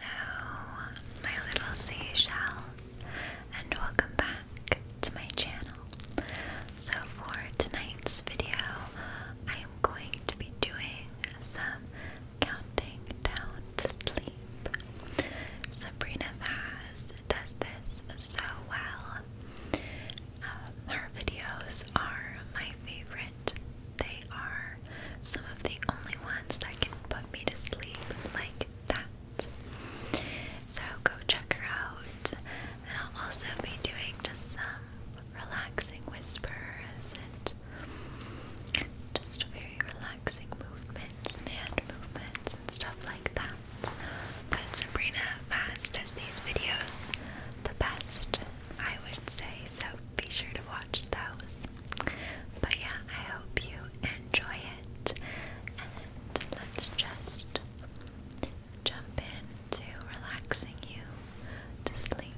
Hello, my little seashells, and welcome back to my channel. So, for tonight's video, I am going to be doing some counting down to sleep. Sabrina Vaz does this so well. Um, her videos are my favorite they are some of the only ones that can put me to sleep like that. So go check her out. And I'll also be doing just some relaxing whispers and just very relaxing movements and hand movements and stuff like that. But Sabrina Fast does these videos the best, I would say. So be sure to watch those. But yeah, I hope you enjoy it. And let's just jump into relaxing you to sleep.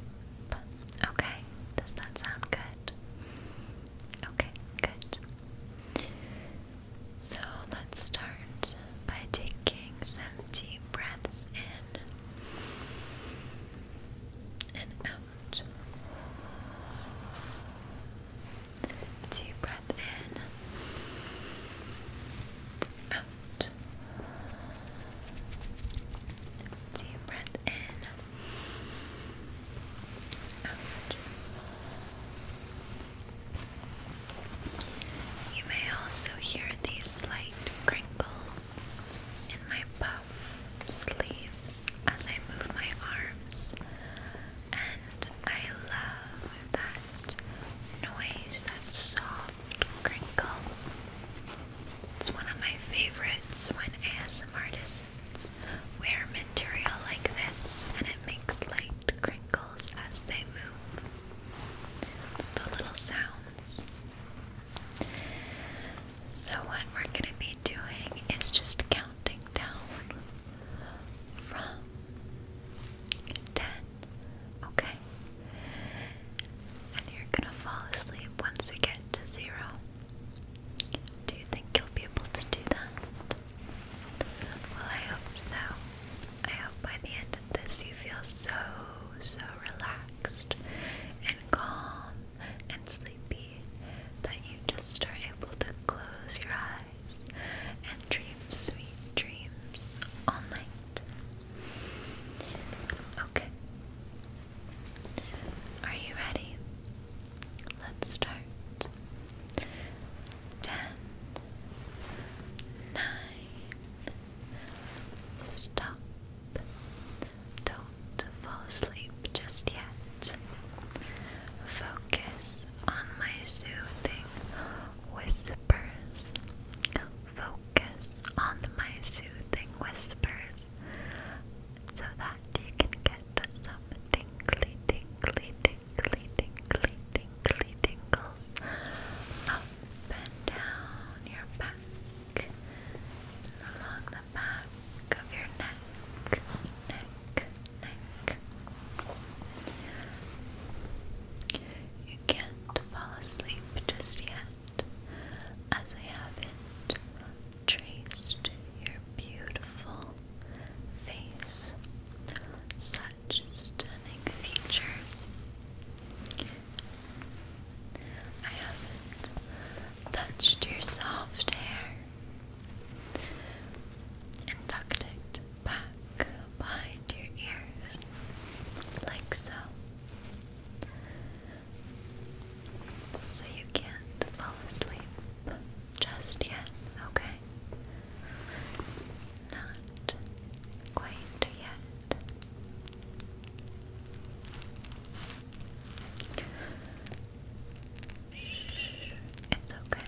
Okay, does that sound good? Okay, good. So let's start by taking some deep breaths in and out. Deep breath in. Out. Deep breath in. Out. You may also hear these slight crinkles in my body sleeves as I move my arms, and I love that noise, that soft crinkle. It's one of my favorites when ASM artists wear material like this and it makes light crinkles as they move. It's the little sounds. So, what we're going to be doing is just counting down from 10, okay? And you're going to fall asleep once we get to zero. Do you think you'll be able to do that? Well, I hope so. I hope by the end of this you feel so, so relaxed and calm and sleepy that you just are able to close your eyes and dream sweet dreams all night. Okay. Are you ready? Let's start. Ten, nine, stop. Don't fall asleep just yet. Focus on my soothing whispers. Focus on my soothing whispers so that you can get some tingly, tingly, tingly, tingly, tingly tingles up and down your back. Along the back of your neck, neck, neck. You can't fall asleep just yet, as I haven't traced your beautiful face. Such stunning features. I haven't touched your soft hair and tucked it back behind your ears, like so, so you can't fall asleep just yet, okay? Not quite yet. It's okay.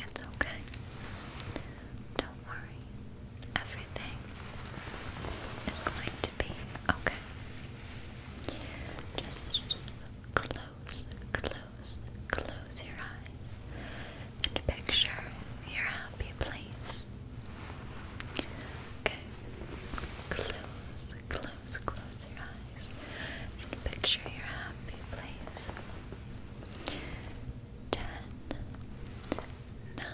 It's okay. Don't worry. Everything is going to be okay. Just close, close, close your eyes and picture your happy place. Okay. Close, close, close your eyes and picture your happy place. Ten, nine,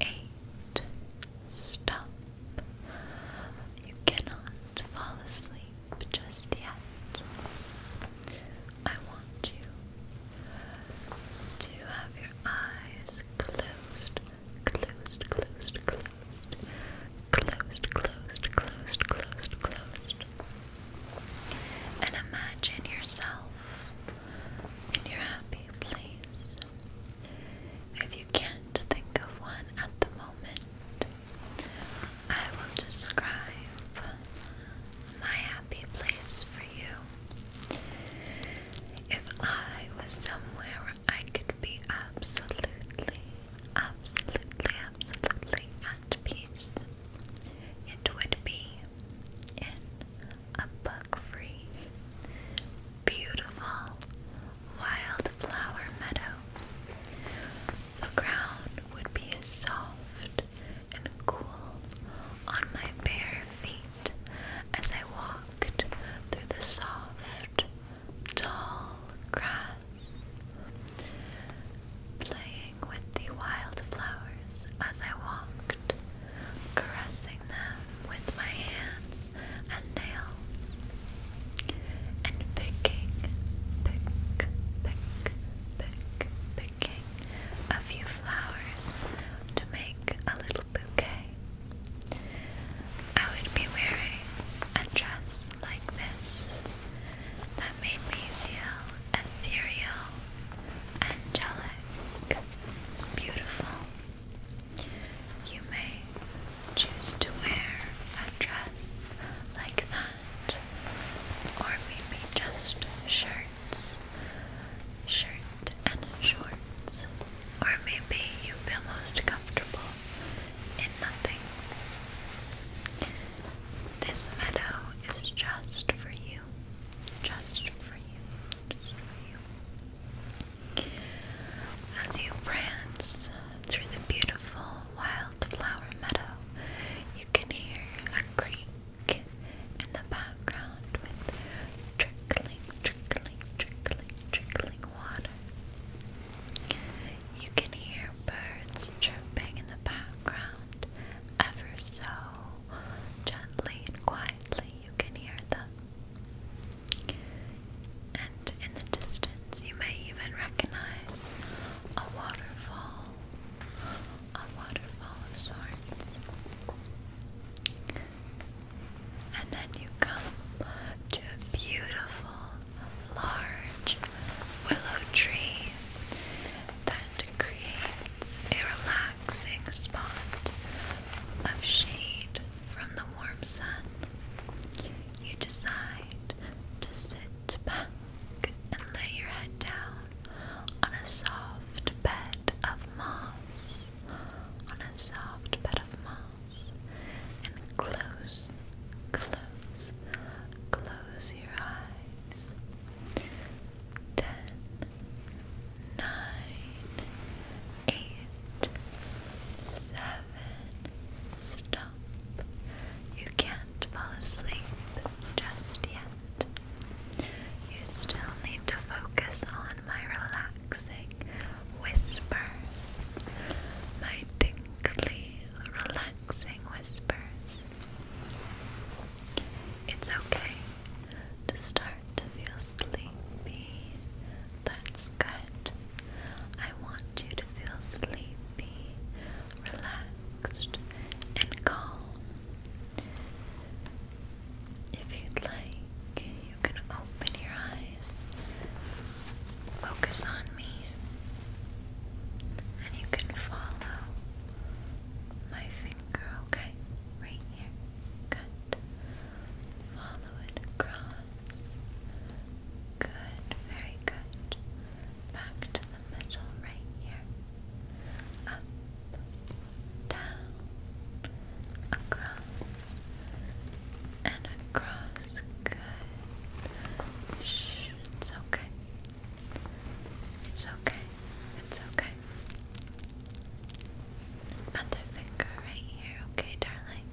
eight, stop. You cannot fall asleep just yet. I want you to have your eyes closed closed, closed, closed, closed, closed, closed, closed, closed. And imagine yourself in your happy place. If you can't think of one at the moment, I will describe my happy place for you. If I was somewhere I could be absolutely, absolutely, absolutely at peace, it would be in a bug free, beautiful wildflower meadow. The ground would be soft and cool on my bare feet as I walked through the soft, tall grass, playing with the wildflowers as I walked, caressing them with my hands and nails, and picking, pick, pick, pick, picking a few flowers to make a little bouquet. I would be wearing a dress like this that made me feel ethereal, angelic, beautiful. You may choose to wear a dress like that, or maybe just shirts. Shirts and shorts, or maybe you feel most comfortable in nothing. This meadow is just for you, just for you, just for you. As you prance through the beautiful wildflower meadow, you can hear a creek in the background with trickling trickling, trickling, trickling water. You can hear birds chirping in the background, ever so gently and quietly you can hear them. And in the distance, you may even recognize a waterfall, a waterfall of sorts and then you come to a beautiful, large willow tree that creates a relaxing spot of shade from the warm sun. You decide to sit back and lay your head down on a soft bed of moss on a soft bed of moss and close, close, close your eyes. Ten, nine, eight, seven, stop. You can't fall asleep just yet. You still need to focus on my relaxing whispers, my tingly, relaxing whispers. It's okay to start to feel sleepy. That's good. I want you to feel sleepy, relaxed, and calm. If you'd like, you can open your eyes, focus on me, and you can follow my finger, okay? Right here. Good. Follow it across. Good, very good. Back to the middle right here down, across, and across. Good. Shh, it's okay. It's okay. It's okay. Other finger right here, okay, darling?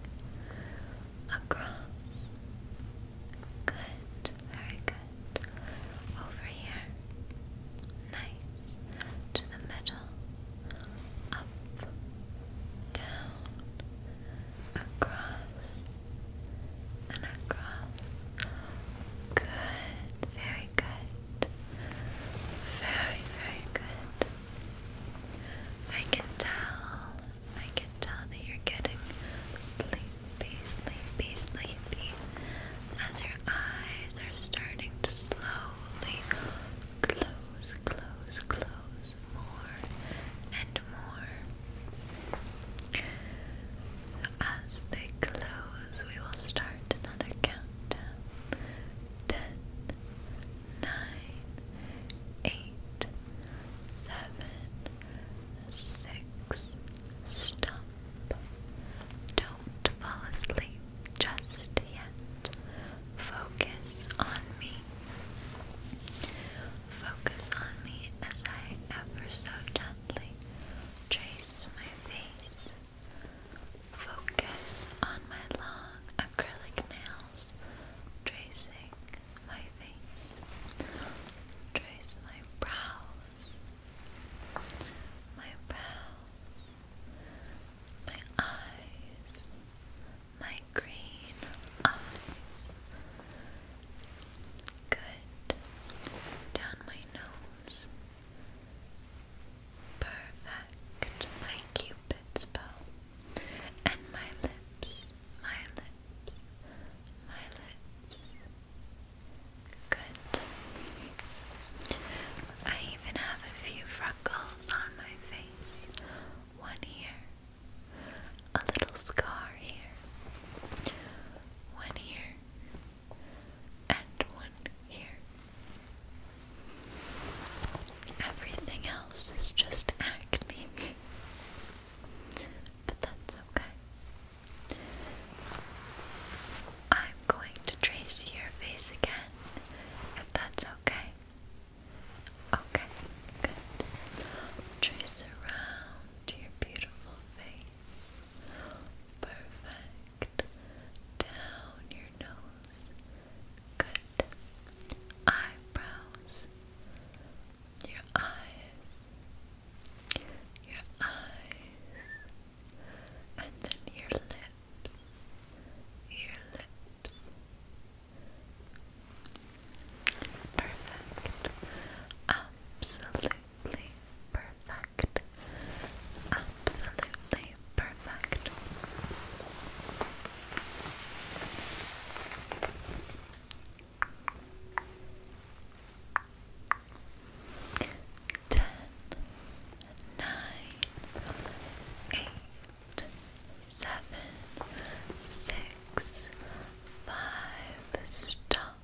Across. Good. Very good. Over here. Nice to the middle, up, down, across, and across. Good, very good, very, very good. I can tell, I can tell that you're getting sleepy, sleepy, sleepy as your eyes are starting to slowly close, close, close more and more. As they close, we will start another countdown. Ten, nine, eight, seven, six, stop. Don't fall asleep just yet. Focus on me. Focus on me as I ever so gently trace my face. Focus on my long acrylic nails tracing my face. Trace my brows. My brows my eyes, my green eyes. Good. Down my nose. Perfect. My cupid's bow. And my lips, my lips, my lips. Good. I even have a few freckles on my face one here, a little scar here, one here, and one here. Everything else is just acne. but that's okay. I'm going to trace your face again, if that's okay. Okay, good. Trace around your beautiful face. Perfect. Down your nose. Good. Eyebrows. Your eyes. Your eyes. And then your lips. Your lips. Perfect. Absolutely perfect. Absolutely perfect. Ten, nine, eight seven, six, five, stop.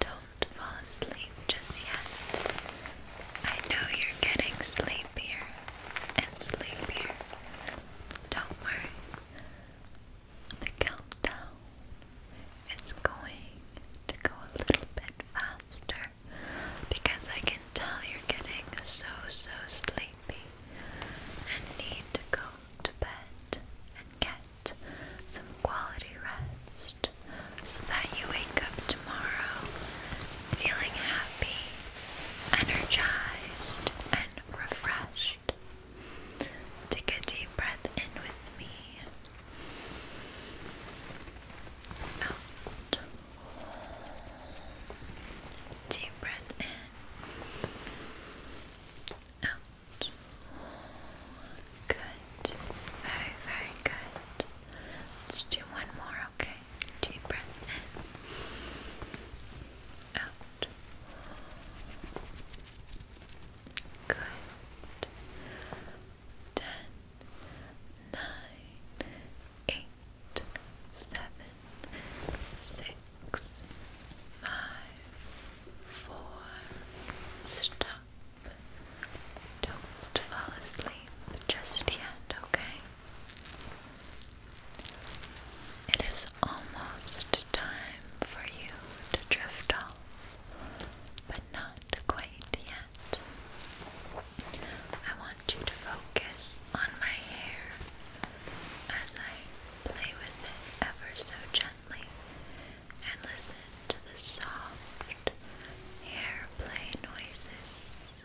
Don't fall asleep just yet. I know you're getting sleepier and sleepier. Don't worry. The countdown is going to go a little bit faster because I can tell you're getting so, so sleepy and need to go to bed and get some quality rest so that you wake up tomorrow feeling happy, energized, and refreshed. Take a deep breath in with me. Out. Deep breath in. Out. Good. Very, very good. Let's do one more, okay? Deep breath in. Out. Good. Ten, nine, eight seven, six, five, four. Stop. Don't fall asleep just yet, okay? It is almost time for you to drift off, but not quite yet. I want you to focus on my hair as I play with it ever so gently and listen to the soft airplay noises.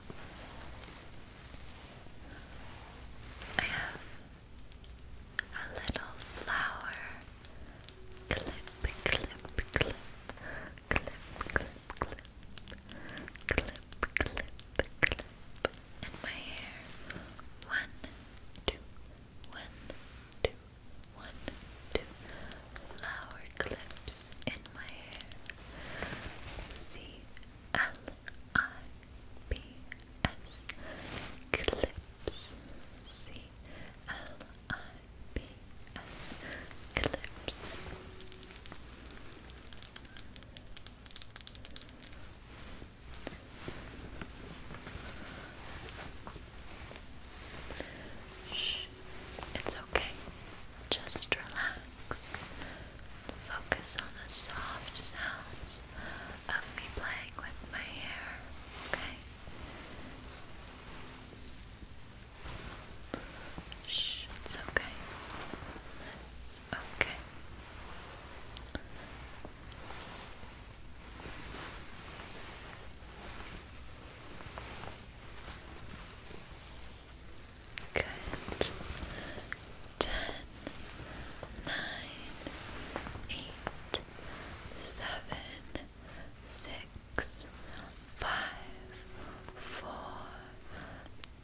I have a little flower clip, clip, clip clip, clip, clip, clip, clip, clip, and my hair. One, two, one, two, one, two. Flower clips in my hair. C L I P S clips. C L I P S clips. It's okay. Just relax. Focus on the soft sounds of me playing with my hair, okay? Shh, it's okay. Okay. Good. Ten, nine, eight, seven, six, five, four,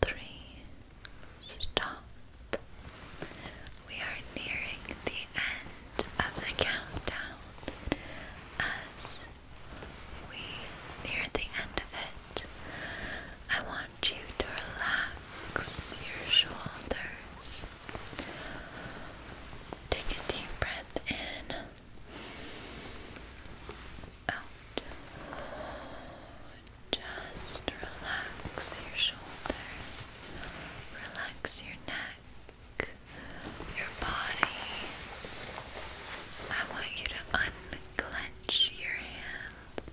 three. Stop. We are nearing the end of the countdown. As we near the end of it, I want you to relax your shoulders. Take a deep breath in out. Just relax your shoulders, relax your neck, your body. I want you to unclench your hands,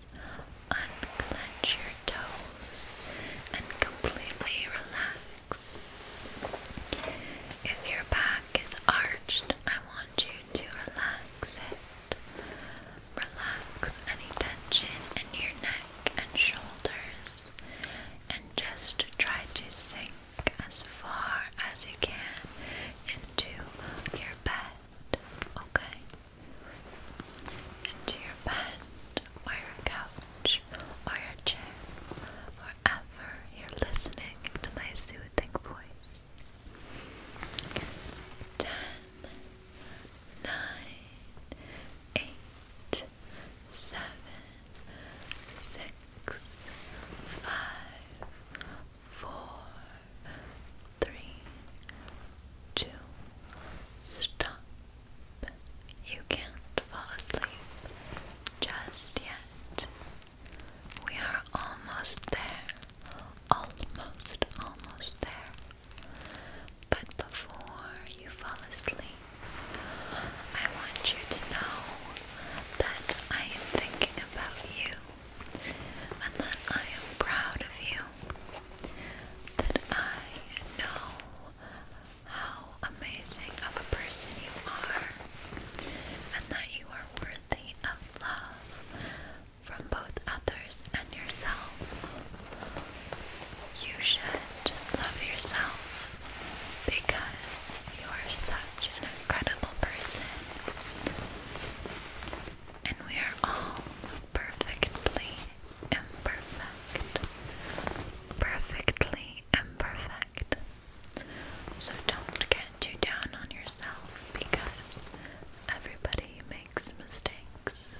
unclench your toes, and completely relax. If your back is arched, I want you to relax it. Relax any tension in your neck and shoulders and just try to sink as far as you can into your bed, okay? Into your bed or your couch or your chair, wherever you're listening to my soothing voice. Ten, nine, eight, seven, six, five, four, three, two, stop. You can't fall asleep just yet. We are almost there. Almost, almost there. But before you fall asleep, I want you to know that I am thinking about you and that I am proud of you. That I know how amazing of a person you are and that you are worthy of love from both others and yourself. You should love yourself because you are such an incredible person. And we are all perfectly imperfect. Perfectly imperfect. So don't get get down on yourself because everybody makes mistakes.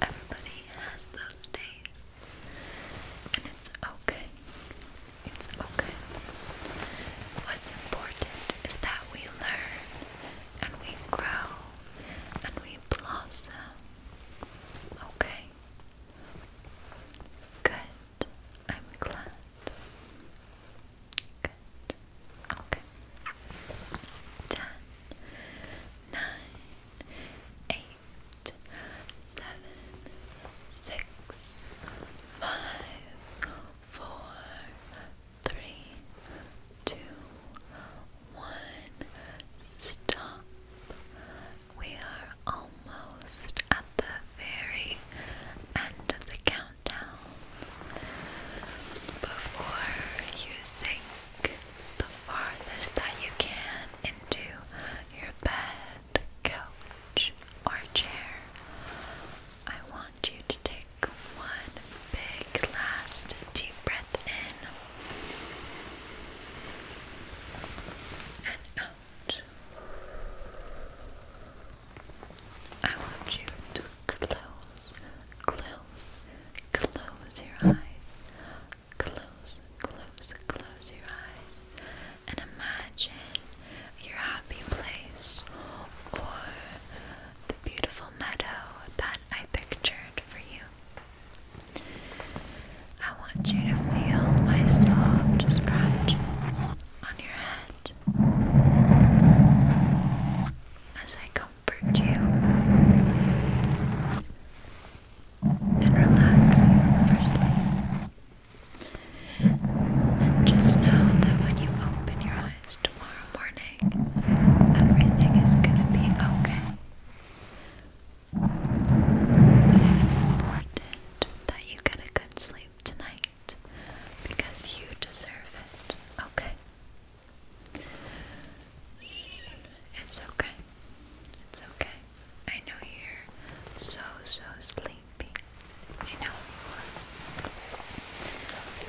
Everybody has those days. And it's okay. It's okay. What's important is that we learn and we grow and we blossom. Okay. Good. I'm glad. Okay. Ten, nine, eight, seven, six, five, four, three, two, one. Stop. We are almost at the very end of the count before you sink the farthest that you can into your bed, couch, or chair. I want you to take one big last deep breath in and out. I want you to close, close, close your eyes. Close, close, close your eyes. And imagine your happy place or the beautiful meadow that I pictured for you. I want you to feel my soft scratches on your head as I comfort you and relax you And just know that when you open your eyes tomorrow morning, everything is going to be okay. But it is important that you get a good sleep tonight because you deserve it, okay? It's okay. It's okay. I know you're so, so sleepy. I know.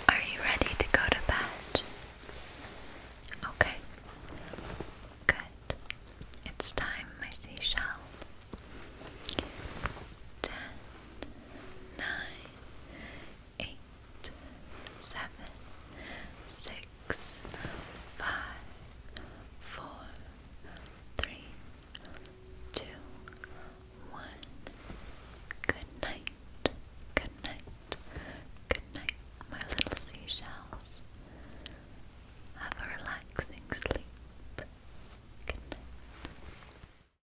Are you ready to go to bed? Okay. Good. It's time, my seashell. Ten, nine, eight, seven, six, five, four, three, two, one. Good night, good night, good night, my little seashells. Have a relaxing sleep. Good night.